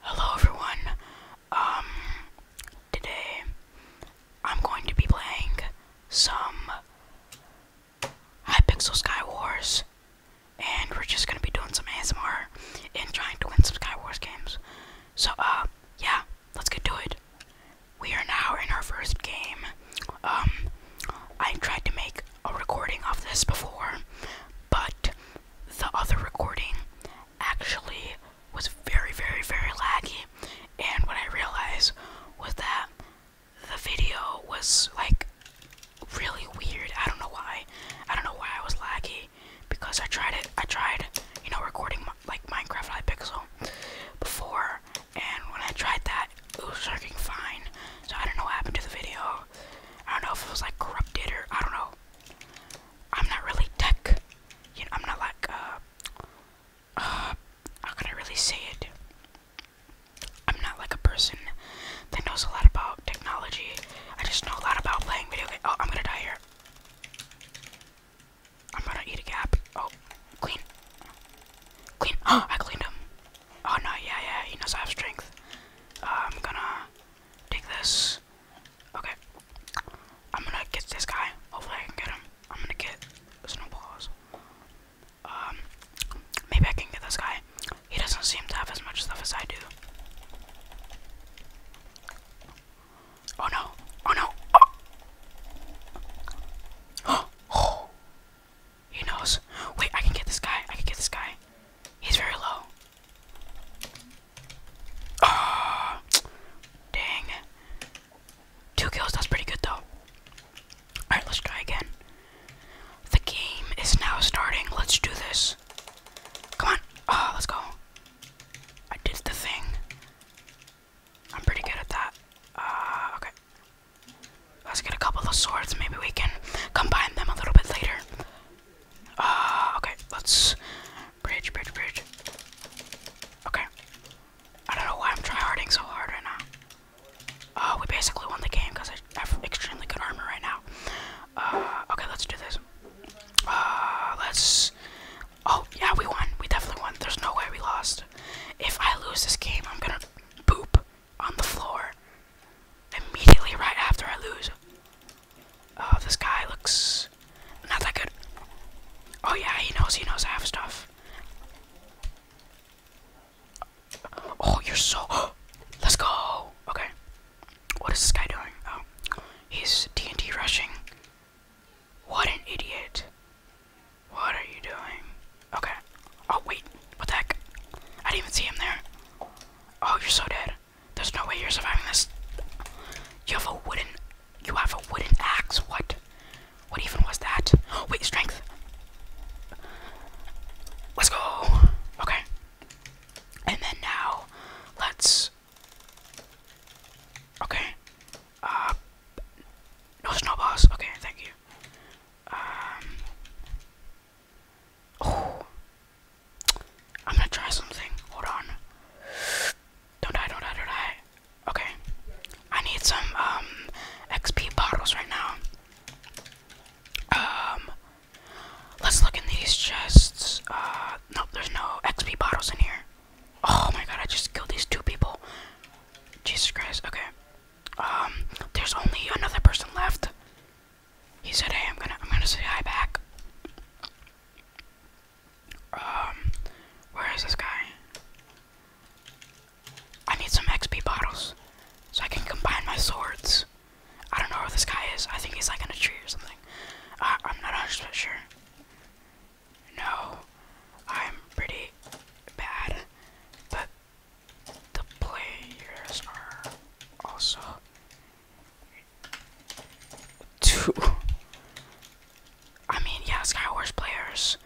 Hello everyone. Um today I'm going to be playing some Hypixel Sky Wars and we're just gonna be doing some ASMR and trying to win some Sky Wars games. So uh yeah, let's get to it. We are now in our first game. Um I tried to make a recording of this before, but the other recording actually was very, very, very laggy. And what I realized was that the video was like really weird. I don't know why. I don't know why I was laggy because I tried it. I tried, you know, recording like Minecraft Live Pixel before, and when I tried that, it was working fine. So I don't know what happened to the video. I don't know if it was like corrupted or I don't know. I'm not really tech. I'm not like uh, uh, how can I really say it? I'm not like a person that knows a lot about technology. I just know a lot about playing video games. Oh, I'm gonna die here. I'm gonna eat a gap. Oh, clean. Clean. Oh, I cleaned him. Oh no, yeah, yeah, he knows I have strength. Uh, I'm gonna Take this. Okay. I'm gonna get this guy. Hopefully I can get him. I'm gonna get snowballs. Um, maybe I can get this guy. He doesn't seem to have as much stuff as I do. Oh no! Oh no! Oh! oh. He knows. Wait, I can get this guy. I can get this guy. He's very low. Ah, dang. Two kills. That's pretty good though. All right, let's try again. The game is now starting. Let's do this. Come on. Ah, let's go. I did the thing. I'm pretty good at that. Uh, okay. Let's get a couple of swords. Maybe we can combine them a little bit later. Uh, okay, let's bridge, bridge, bridge. Okay. I don't know why I'm tryharding so hard right now. Uh, we basically won the game because I have extremely good armor right now. Uh, okay, let's do this. Uh, let's... Oh, yeah, we won. We definitely won. There's no way we lost. If I lose this game, I'm gonna poop on the floor immediately right after I lose. Oh, this guy looks not that good. Oh yeah, he knows, he knows I have stuff. Oh, you're so, let's go. Okay, what is this guy doing? Oh, he's D&D rushing. What an idiot. What are you doing? Okay. Oh, wait. What the heck? I didn't even see him there. Oh, you're so dead. There's no way you're surviving this. You have a wooden... You have a wooden axe? What? What even was that? Oh, wait, strength. Let's go. Okay. And then now, let's... Okay. Uh... No snowballs. Okay, thank you. Um. Oh. I'm gonna try something. Hold on. Don't die, don't die, don't die. Okay. I need some, um, XP bottles right now. Um. Let's look in these chests. Uh, nope, there's no XP bottles in here. Oh my god, I just killed these two people. Jesus Christ, okay. Um, there's only another person left. He said, "Hey, I'm gonna, I'm gonna say hi back." Um, where is this guy? I need some XP bottles so I can combine my swords. I don't know where this guy is. I think he's like in a tree or something. I'm not 100% sure. No, I'm pretty bad, but the players are also two. I mean, yeah, Skywars players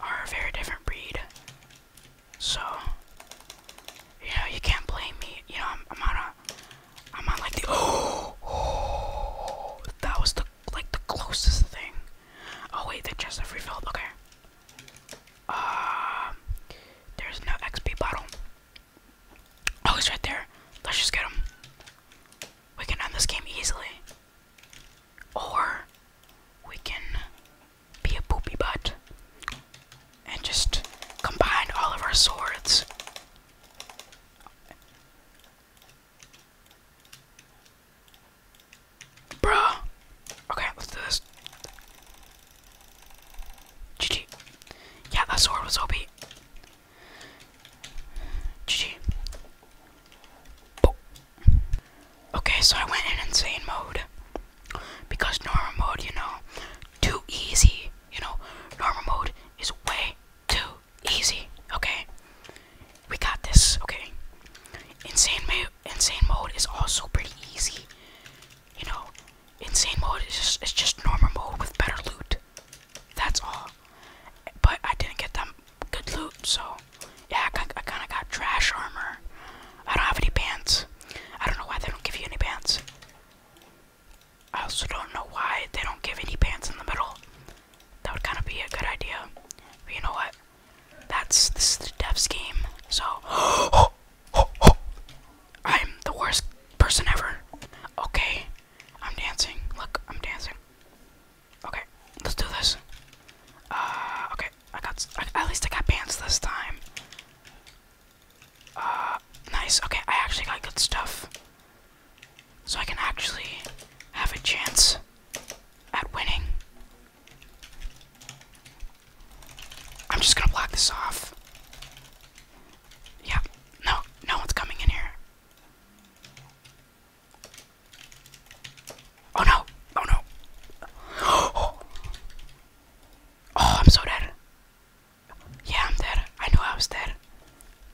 are a very different breed. So, you know, you can't blame me. You know, I'm, I'm on a, I'm on like the, oh, oh, that was the, like the closest thing. Oh wait, they just have refilled, okay. Uh, there's no XP bottle. Oh, he's right there. Let's just get him. We can end this game easily. Or we can be a poopy butt and just combine all of our swords. Bruh. Okay, let's do this. GG. Yeah, that sword was OP. GG. Okay, so I went in insane mode. Because normal mode, you know, too easy. You know, normal mode is way too easy. Okay? We got this, okay? Insane, mo insane mode is also pretty easy. You know, insane mode is just, it's just normal mode with better loot. That's all. But I didn't get that good loot, so yeah, I kind of got trash armor. I don't have any pants. I don't know why they don't give you any pants. I also don't know why they don't give any pants in the middle. That would kind of be a good idea. But you know what? That's this is the devs game. So I'm the worst person ever. Okay, I'm dancing. Look, I'm dancing. Okay, let's do this. Uh, okay, I got at least I got pants this time. Uh, nice. Okay, I actually got good stuff so I can actually have a chance at winning. I'm just gonna block this off. Yeah, no, no one's coming in here. Oh no, oh no. Oh, oh I'm so dead. Yeah, I'm dead. I knew I was dead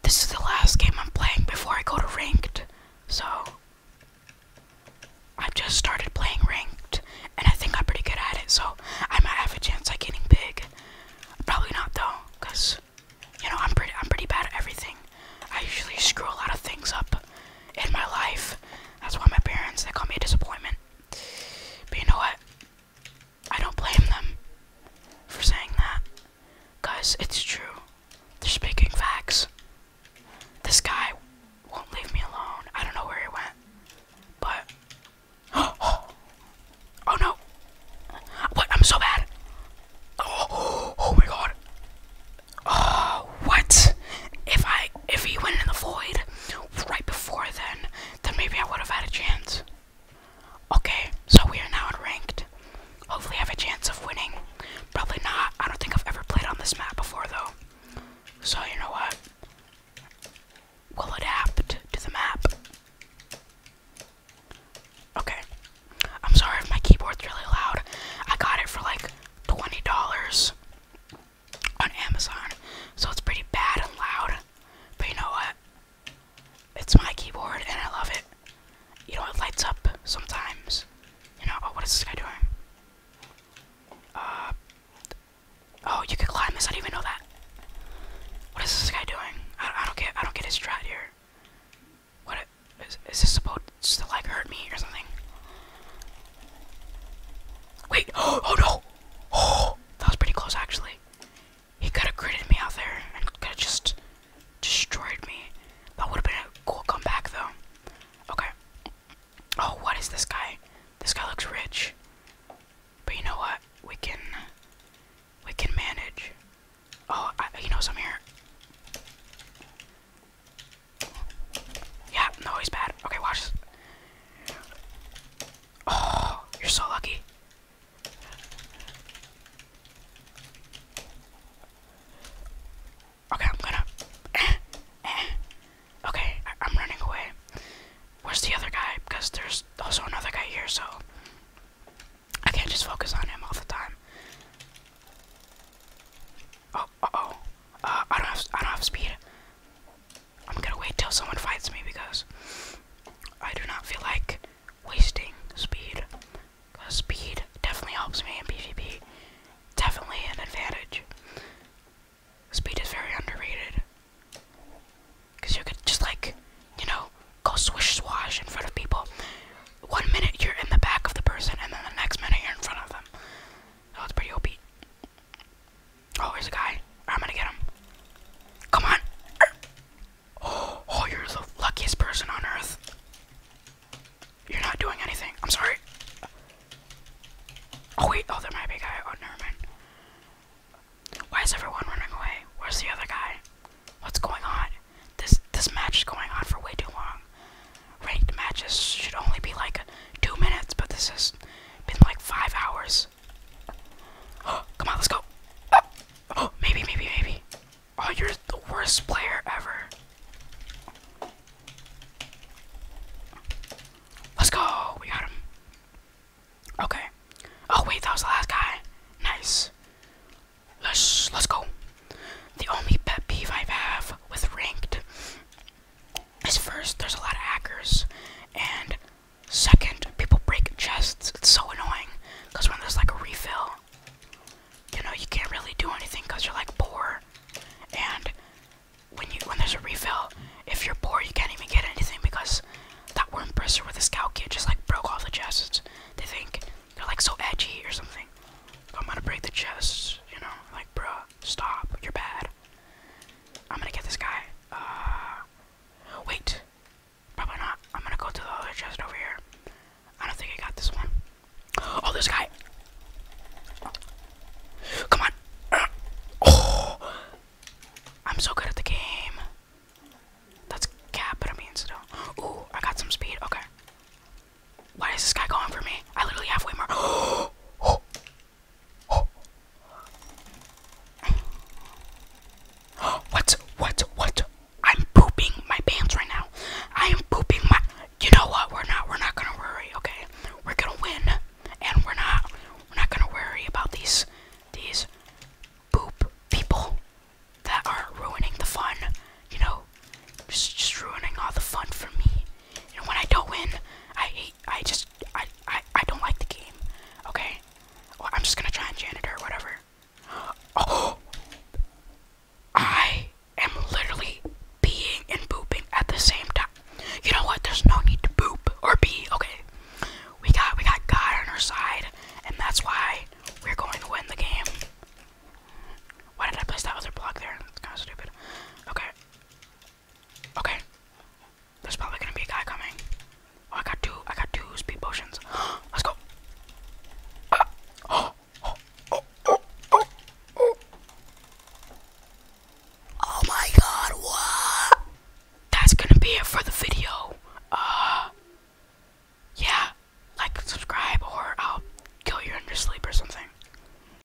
this is the last game I'm playing before I go to ranked. So I've just started playing ranked and I think I'm pretty good at it, so I might have a chance at getting big. Probably not though, because you know I'm pretty I'm pretty bad at everything. I usually screw a lot of things up in my life. That's why my parents they call me a disappointment. But you know what? I don't blame them for saying that. Guys, it's true. They're speaking facts. This guy won't leave me alone. I don't know where he went. But. Oh, oh no! What? I'm so bad! oh my god! Oh, what? If I. If he went in the void right before then, then maybe I would have had a chance. Okay, so we are now ranked. Hopefully, I have a chance of winning. Probably not. I don't think I've ever played on this map before, though. So, you know what? We'll adapt to the map. Okay. I'm sorry if my keyboard's really loud. I got it for like $20 on Amazon, so it's pretty bad and loud. But you know what? It's my keyboard and I love it. You know, it lights up sometimes. You know, oh, what is this guy doing? Uh, oh, you could climb this. I didn't even know that. What is this guy doing? I, I don't get. I don't get his strat here. What is, is this supposed to like hurt me or something? Wait. Oh, oh no. Oh, that was pretty close actually. He could have critted me out there and could have just destroyed me. That would have been a cool comeback, though. Okay. Oh, what is this guy? This guy looks rich. But you know what? We can... We can manage. Oh, I, he knows I'm here. Yeah, no, he's bad. Okay, watch this. Oh, you're so lucky. Okay, I'm gonna. okay, I am going to okay i am running away. Where's the other guy? Because there's also another guy here, so I can't just focus on him all the time. Oh, uh oh. Uh, I don't have. I don't have speed. I'm gonna wait till someone fights me because I do not feel like wasting speed. Because speed definitely helps me in PvP. Definitely an advantage. Speed is very underrated. Because you could just like, you know, go swish swash in front of people. One minute you're in the back of the person, and then the next minute you're in front of them. That was pretty OP. Oh, there's a guy. I'm gonna get him. Come on. Oh, you're the luckiest person on earth. You're not doing anything. I'm sorry. Oh, wait. Oh, there might be a guy. Oh, never mind. Why is everyone running away? Where's the other guy? What's going on? This this match is going on for way too long. Ranked matches should only be like two minutes, but this has been like five hours. Oh, come on, let's go. Oh, maybe, maybe, maybe. Oh, you're the worst player ever. Let's go. We got him. Okay. Oh wait, that was the last guy. Nice. Let's let's go. The only pet peeve I have with ranked is first there's a lot of hackers and Second, people break chests. It's so annoying. Because when there's like a refill, you know, you can't really do anything because you're like poor. And when you when there's a refill, if you're poor, you can't even get anything because that worm presser with the scout kid just like broke off the chests. They think they're like so edgy or something. I'm gonna break the chests, you know, like bruh, stop, you're bad. I'm gonna get this guy. Uh, wait. Probably not. I'm gonna go to the other chest over here. I don't think I got this one. Oh, this guy. Come on. Oh, I'm so good at the game. That's cap, but I mean still. Ooh, I got some speed. Okay. Why is this guy going for me? I literally have way more. Oh, Oh. What? What? What? I'm pooping my pants right now. I am pooping my. You know what? We're not. We're not gonna worry. Okay. We're gonna win, and we're not. We're not gonna worry about these. These. Poop people that are ruining the fun, you know, just, just ruining all the fun for me. And when I don't win, I I just, I, I, I don't like the game. Okay? I'm just gonna try and janitor or whatever. Oh! I am literally peeing and pooping at the same time. You know what? There's no need to poop or pee. Okay. We got, we got God on our side. And that's why we're going to win the game. Why did I place that other block there? It's kind of stupid. Okay. Okay. There's probably gonna be a guy coming. Oh, I got two. I got two speed potions. Let's go. Oh. my God! What? That's gonna be it for the video. Uh. Yeah. Like, subscribe, or I'll kill you in sleep or something.